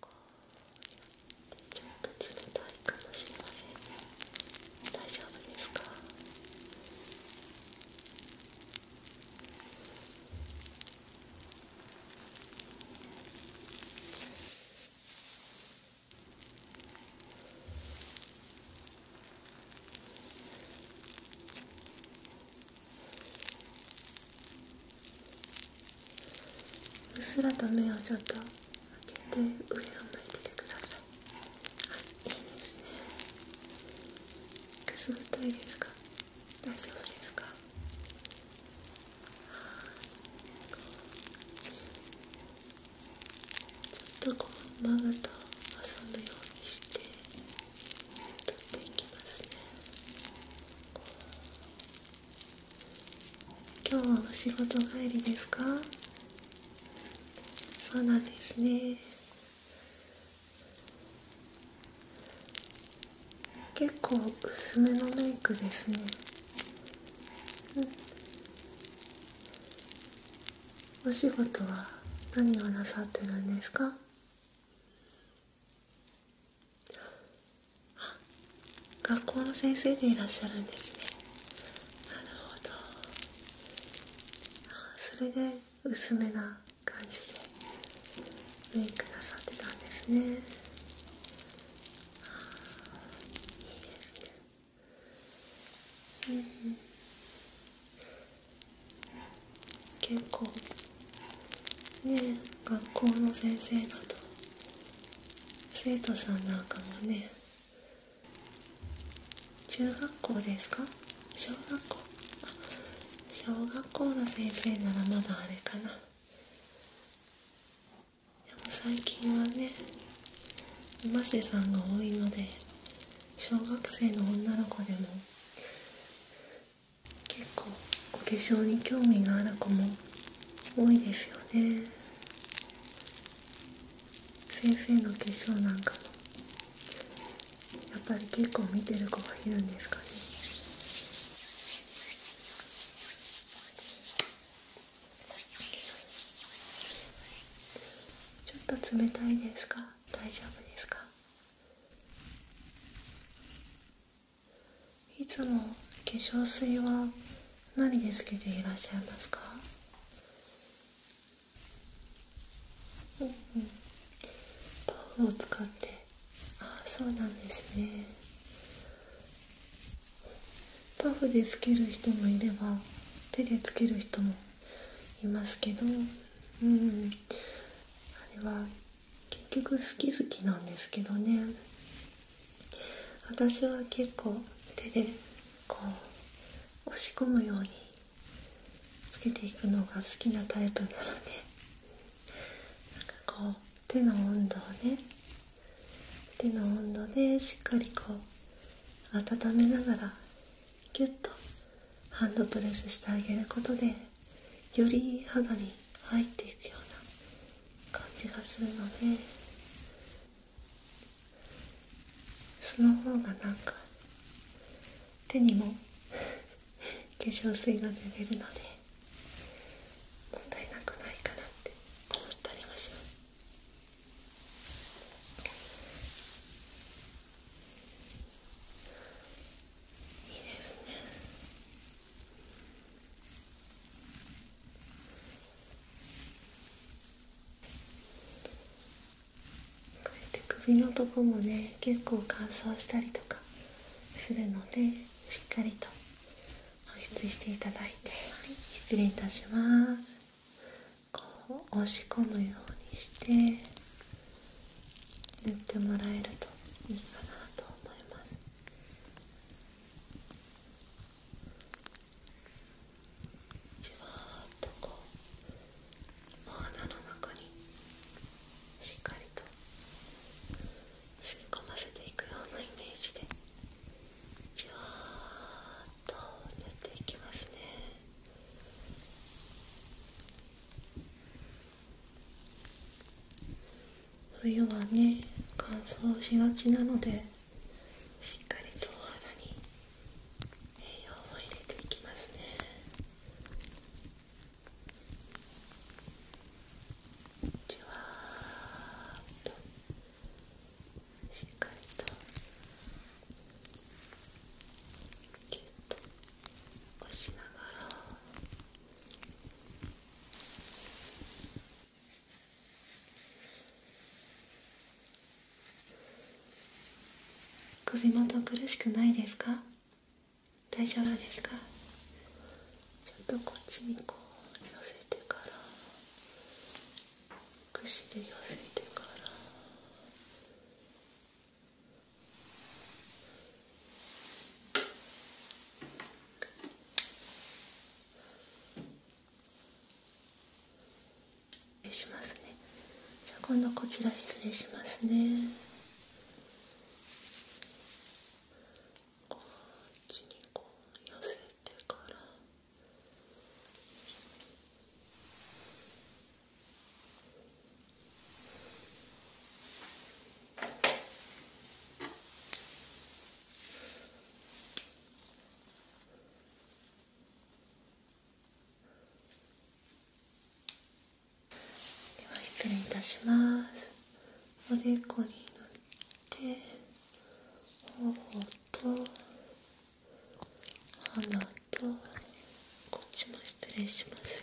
こうやってちょっと冷たいかもしれませんね。大丈夫ですかうっすらと目をちょっと開けて上を向いててくださいいいですねくすぐったいですか大丈夫ですかちょっとこうマぶと遊ぶようにして取っていきますね今日は仕事帰りですかそうなんですね結構薄めのメイクですね、お仕事は何をなさってるんですか学校の先生でいらっしゃるんですねなるほどそれで薄めな感じでメイクなさってたんですねいいですねうん結構ね学校の先生だと生徒さんなんかもね中学校ですか小学校小学校の先生ならまだあれかなでも最近はねマ瀬さんが多いので小学生の女の子でも結構お化粧に興味のある子も多いですよね先生の化粧なんかもやっぱり結構見てる子がいるんですかねちょっと冷たいですか大丈夫ですかいつも化粧水は何でつけていらっしゃいますかパフを使ってああそうなんですねパフでつける人もいれば手でつける人もいますけどうんあれは結局好き好きなんですけどね私は結構手でこう押し込むようにつけていくのが好きなタイプなのでこう手の温度をね手の温度でしっかりこう温めながらギュッとハンドプレスしてあげることでより肌に入っていくような感じがするのでその方がなんか手にも化粧水が塗れるので問題なくないかなって思ったりもしますいいですねこうやって首のとこもね結構乾燥したりとかするのでしっかりと保湿していただいて、失礼いたしますこう押し込むようにして塗ってもらえるといいかなと思いますじわっとこうお花の中にしっかりと吸い込ませていくようなイメージでじわっと塗っていきますね冬はね乾燥しがちなのでしっかりとお肌に栄養を入れていきますねじわっとしっかりとぎゅっと押しながら首元苦しくないですか大丈夫ですかちょっとこっちにこう寄せてから串で寄せてから失礼しますねじゃあ今度こちら失礼しますねこっちにこう寄せてから失礼いたしますおでこに塗って頬と鼻とこっちも失礼しますよ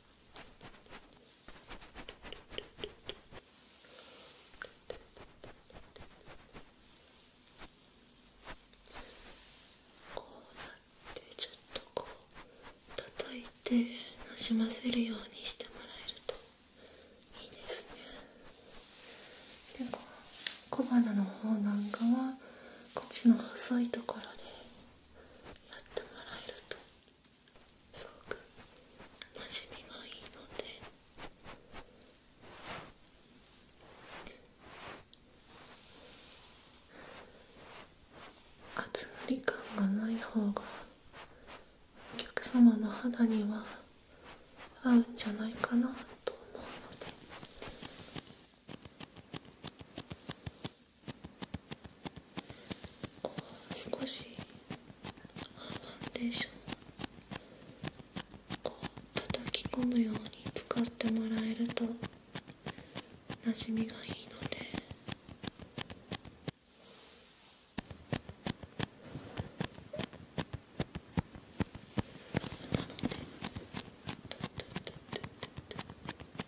こうなってちょっとこう叩いてなじませるようにしてもらえるといいですねでこ小鼻の方なんかはこっちの細いところでやってもらえるとすごくなじみがいいので厚塗り感がない方がお客様の肌には合うんじゃないかなと思うので。少しファンデーションを叩き込むように使ってもらえるとなじみがいいのでなので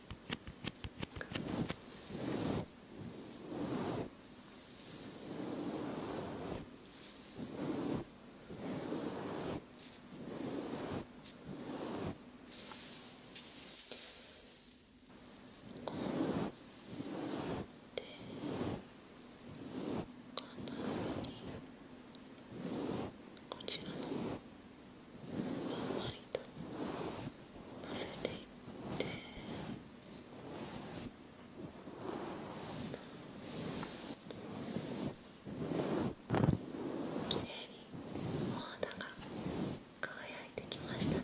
こちらのんまりとのせていってきれいにお肌が輝いてきましたね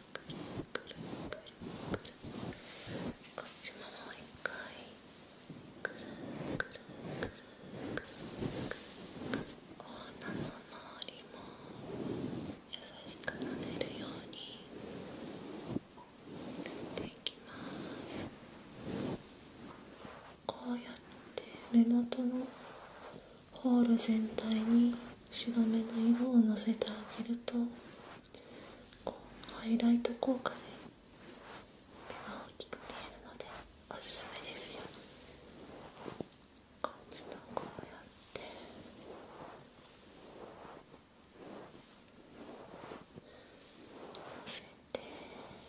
こっちももう一回くるくるくるくるな鼻の周りも優しくなでるように塗っていきますこうやって目元のホール全体に白目の色をのせてあげるとハイライト効果で目が大きく見えるのでおすすめですよこっこうやってのせて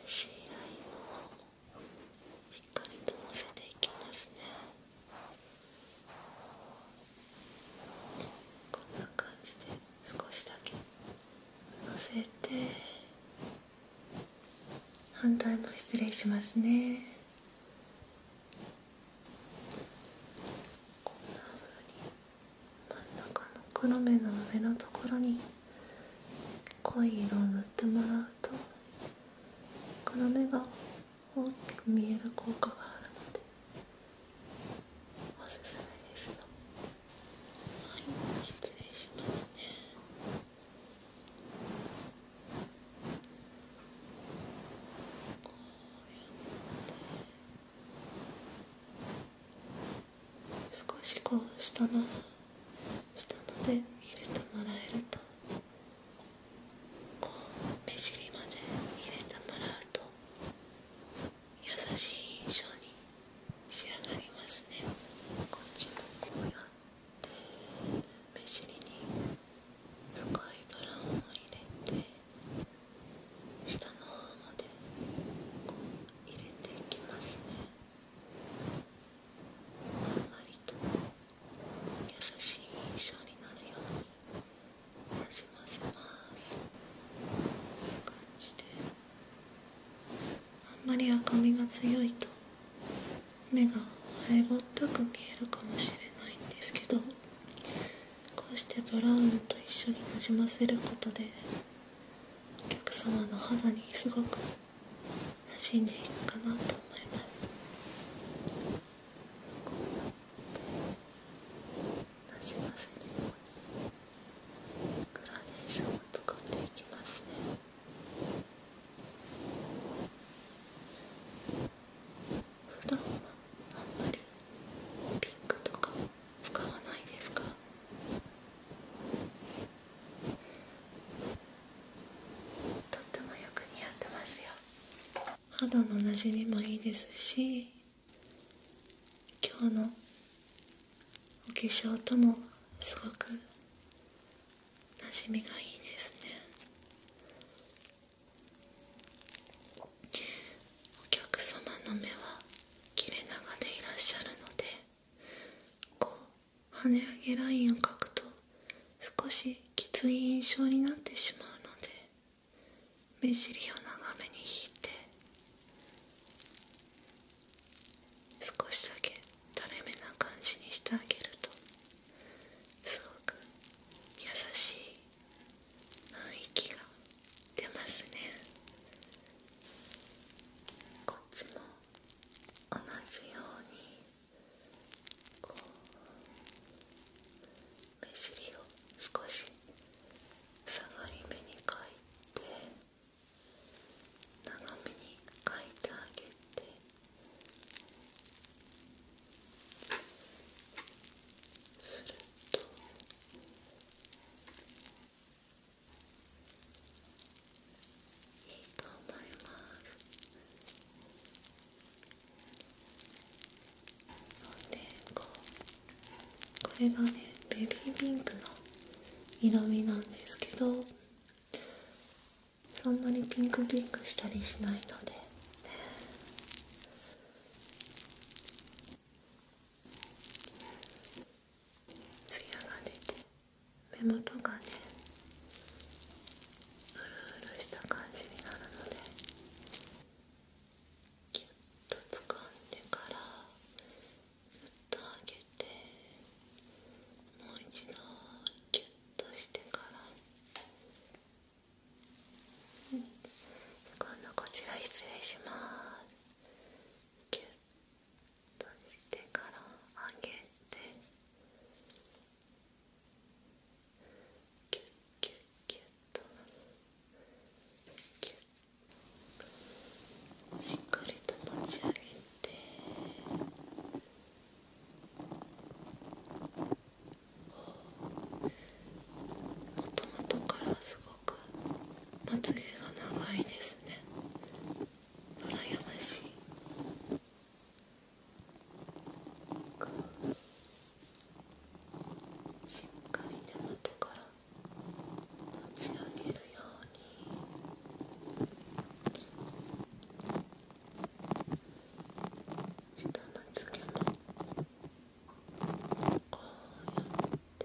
C ラインの方もしっかりとのせていきますね。こんな感じで少しだけのせて反対も失礼しますねこんなふうに真ん中の黒目の上のところに濃い色を塗ってもらうと黒目が大きく見える効果があるのでおすすめですはい失礼しますねこうやって少しこう下の下ので入れてもらえるとこう目尻まで入れてもらうと優しい印象に仕上がりますねこっちもこうやって目尻に深いブラウンを入れて下の方までこう入れていきますねあんまりと。優しい印象になるようになじませますこんな感じであんまり赤みが強いと目がハイぼったく見えるかもしれないんですけどこうしてドラウンドと一緒になじませることでお客様の肌にすごく馴染んでいくかなと思いますなじませるようにグラデーションを使っていきますね。普段はあんまりピンクとか使わないですかとってもよく似合ってますよ。肌のなじみもいいですし今日のお化粧ともすごくなじみがいいですねお客様の目は切れ長でいらっしゃるのでこう跳ね上げラインを描くと少しきつい印象になってしまうので目尻を長めに引いて少しだけ垂れ目な感じにしてあげるとすごく優しい雰囲気が出ますねこっちも同じように。こう目尻を少し下がり目に描いて長めに描いてあげてすると。いいと思いますでこうこれがねベビーピンクの色味なんですけどそんなにピンクピンクしたりしないのでツヤが出て目元がねうるした感じになるのでギュッと掴んでからずっと上げてもう一度ギュッとしてから、うん、今度こちら失礼しますギュッとしてから上げて。キュッキュッキュッとキュッしっかりと持ち上げてもともとからすごくまつげが長いですね羨ましいかしっかり手元から持ち上げるように下まつげもこうやって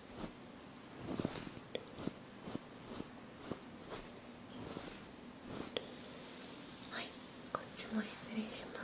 はいこっちも失礼します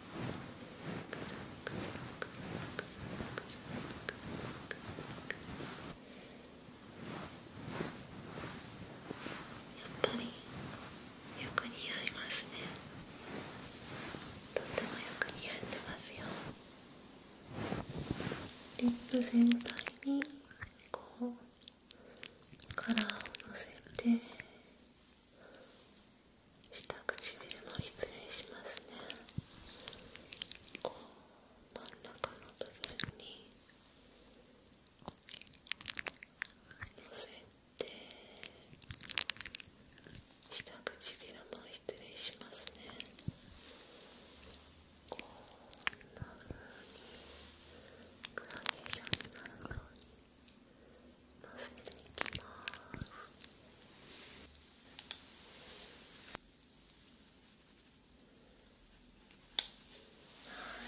やっぱりよく似合いますねとってもよく似合ってますよリップ全体にこうカラーをのせて下唇も失礼しますね真ん中の部分にのせて下唇も失礼しますねこんな風にグラデーションになるようにのせていきますは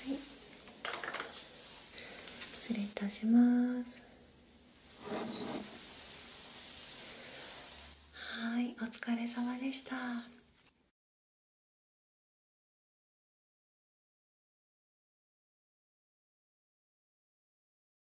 い失礼いたしますはいお疲れ様でした